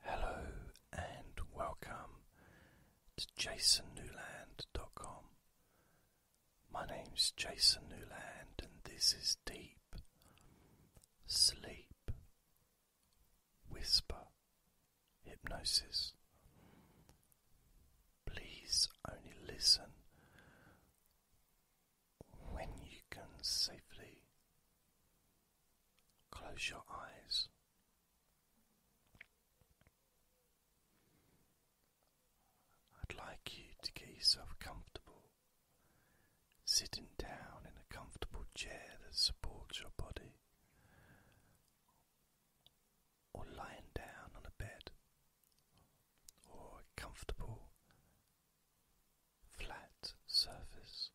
Hello and welcome to jasonnewland.com. My name's Jason Newland, and this is Deep Sleep Whisper Hypnosis. Please only listen when you can safely close your eyes. I'd like you to get yourself comfortable, sitting down in a comfortable chair that supports your body, or lying down on a bed, or a comfortable flat surface.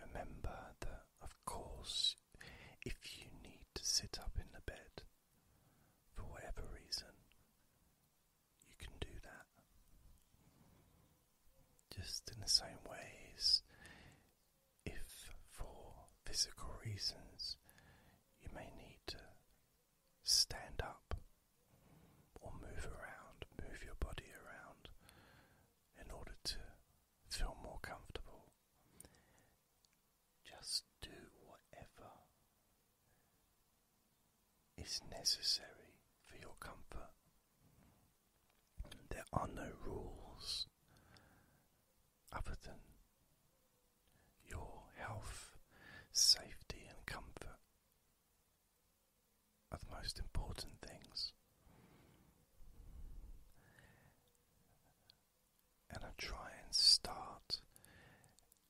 Remember that, of course, if you need to sit up in the bed for whatever reason, you can do that. Just in the same ways, if for physical reasons you may need to stand up or move around, move your body around in order to feel more comfortable. Just do whatever is necessary for your comfort. There are no rules other than your health, safety, and comfort are the most important things. And I try and start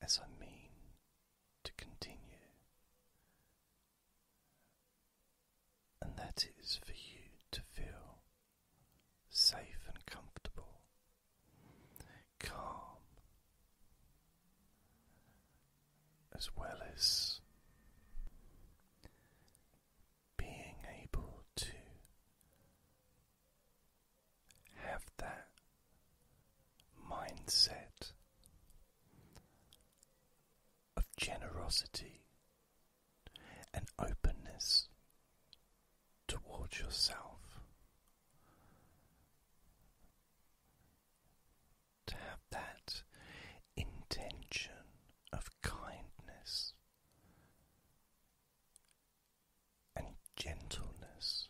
as I mean to continue. And that is for you to feel safe and comfortable, calm as well as being able to have that mindset of generosity and openness towards yourself to have that intention of kindness and gentleness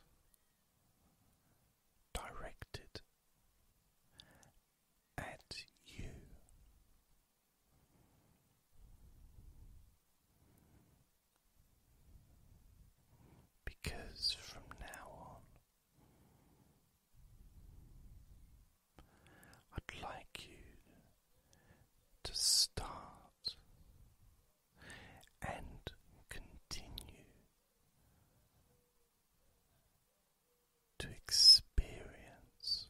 directed at you. Because from now on, I'd like you to start and continue to experience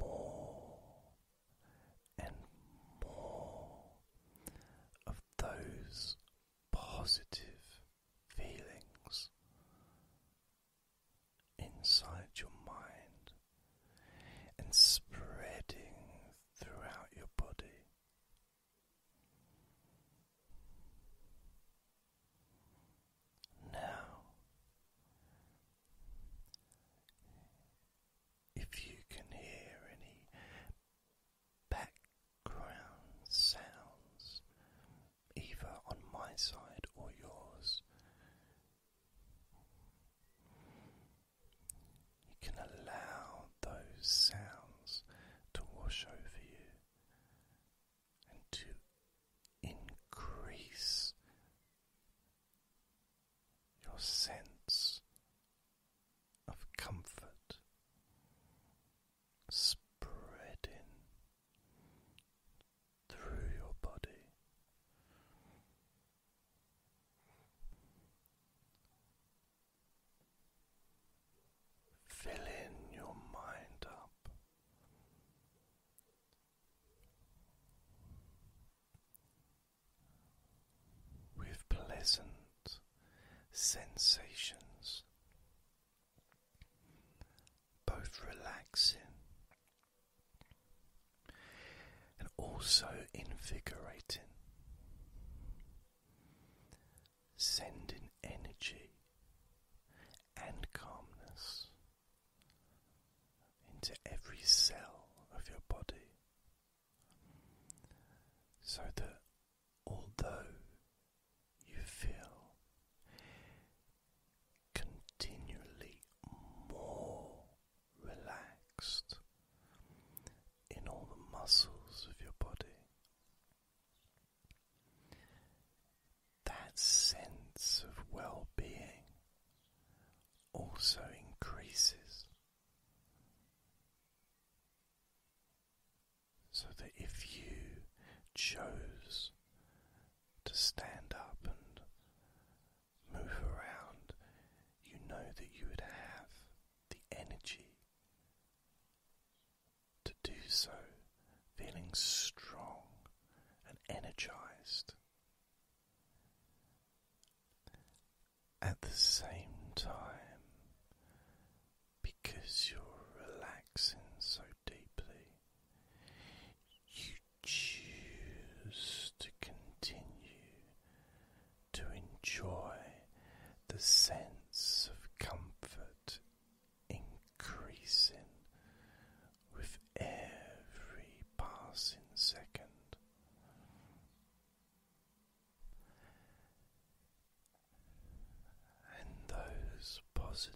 more and more of those positive feelings inside your mind and spreading throughout your body. Now, if you can hear any background sounds, either on my side or yours. You can allow those sounds to wash over you and to increase your sense of comfort spreading through your body. Filling your mind up with pleasant sensations, both relaxing and also invigorating, sending energy and calmness into every cell of your body so that although you feel continually more relaxed in all the muscles of your body, that sense of well being also increases so that if you chose to stand up and move around, you know that you would have the energy to do so, feeling strong and energized at the same time because you're relaxing so deeply. You choose to continue to enjoy the sense of comfort increasing with every passing second and those positive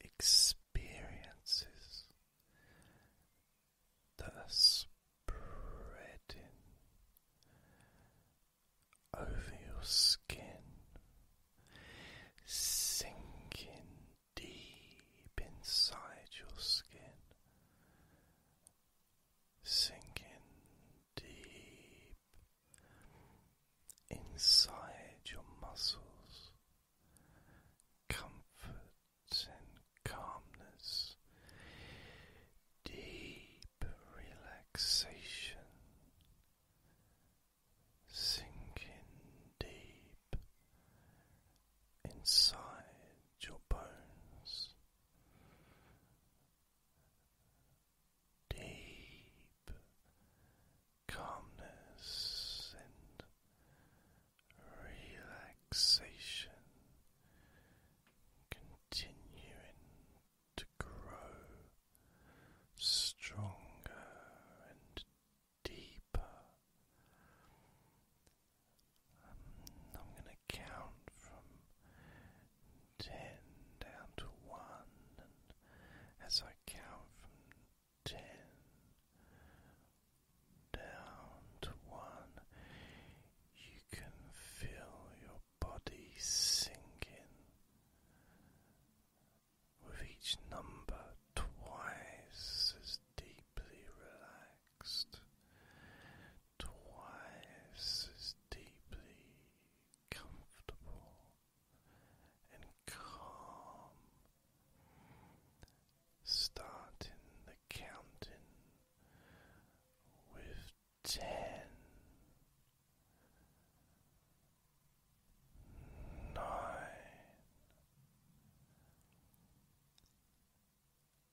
experiences that are spreading over your skin, sinking deep inside your skin sinking deep inside your muscles, comfort and calmness, deep relaxation. Sinking deep inside your bones, deep calmness and relaxation continuing to grow stronger and deeper I'm going to count from ten down to one, and as I count from ten down to one, you can feel your body sinking. With each number twice as deeply relaxed, twice as deeply comfortable and calm, starting the counting with ten, nine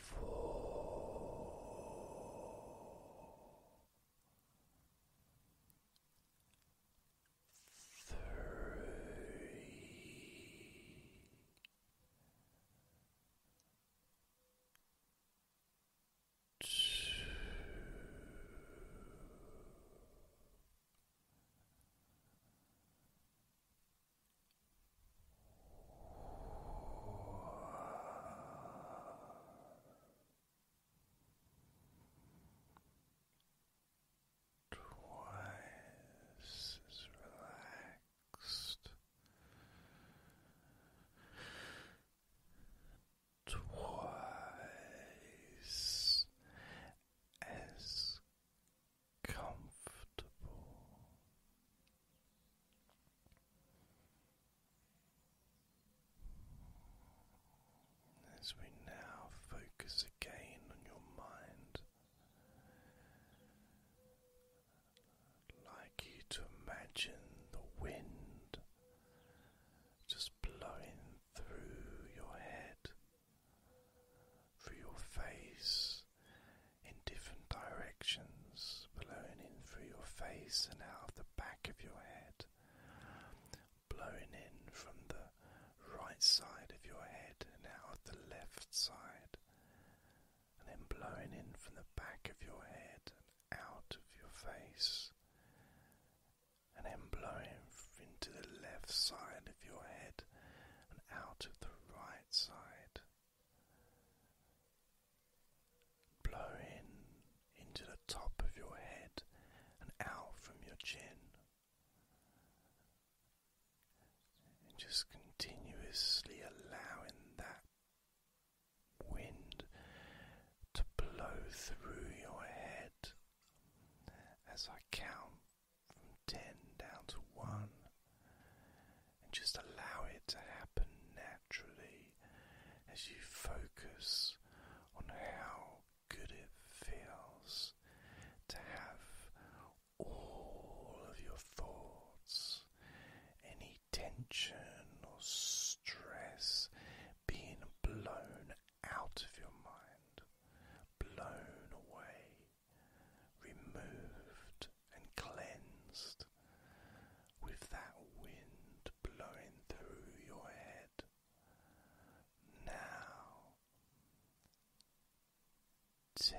Four, three, two, Twice as relaxed, twice as comfortable as we now focus again on your mind. Like you to imagine the wind just blowing through your head, through your face in different directions, blowing in through your face and out of the back of your head, blowing in from the right side of your head and out of the left side, and then blowing in from the back of your head and out of your face and then blowing into the left side of your head and out of the right side. Blow in into the top of your head and out from your chin. And just continuously allowing that wind to blow through your head as I count from 10 down to 1 and just allow it to happen naturally as you focus on how good it feels to have all of your thoughts, any tension or stress, being blown out of your mind, blown away, removed and cleansed with that wind blowing through your head. Now, ten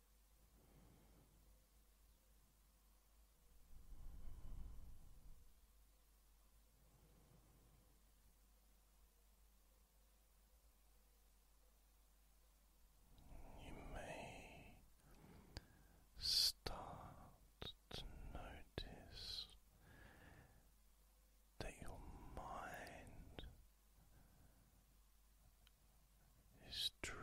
You may start to notice that your mind is drifting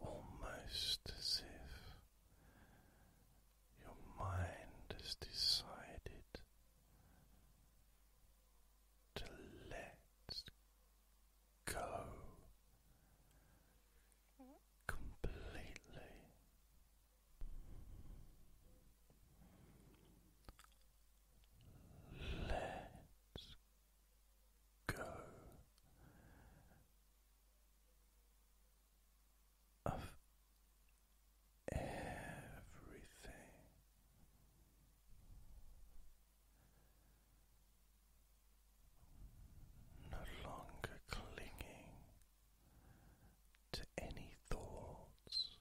almost as if your mind has decided to let go completely. Let's go of everything. No longer clinging to any thoughts,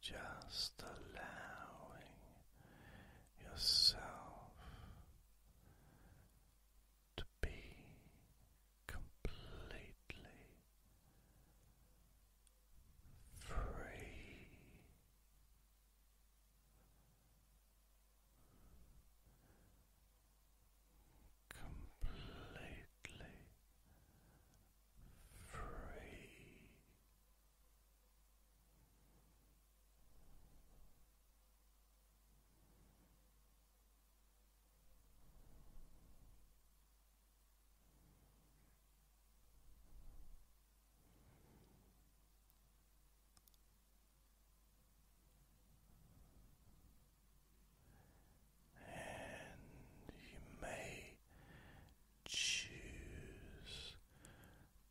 just allowing yourself to be completely free completely free and you may choose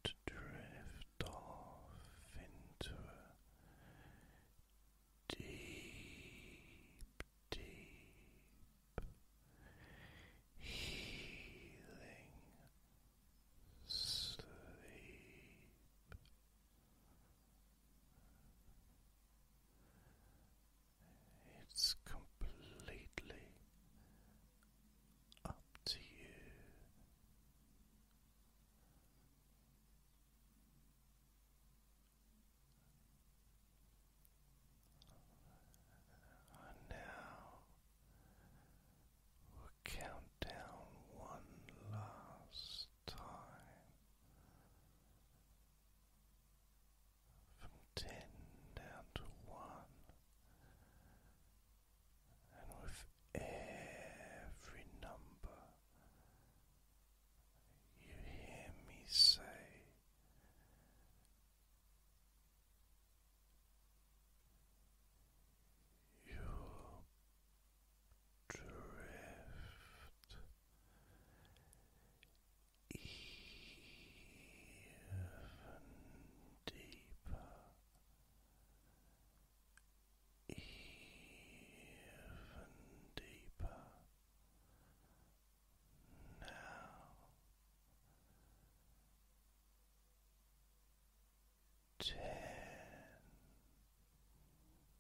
to drift off into a deep, deep healing sleep. It's completely up to you. And now we'll count down one last time from ten down to one, and with every number, you hear me say. Your drift even deeper, even deeper now. Ten,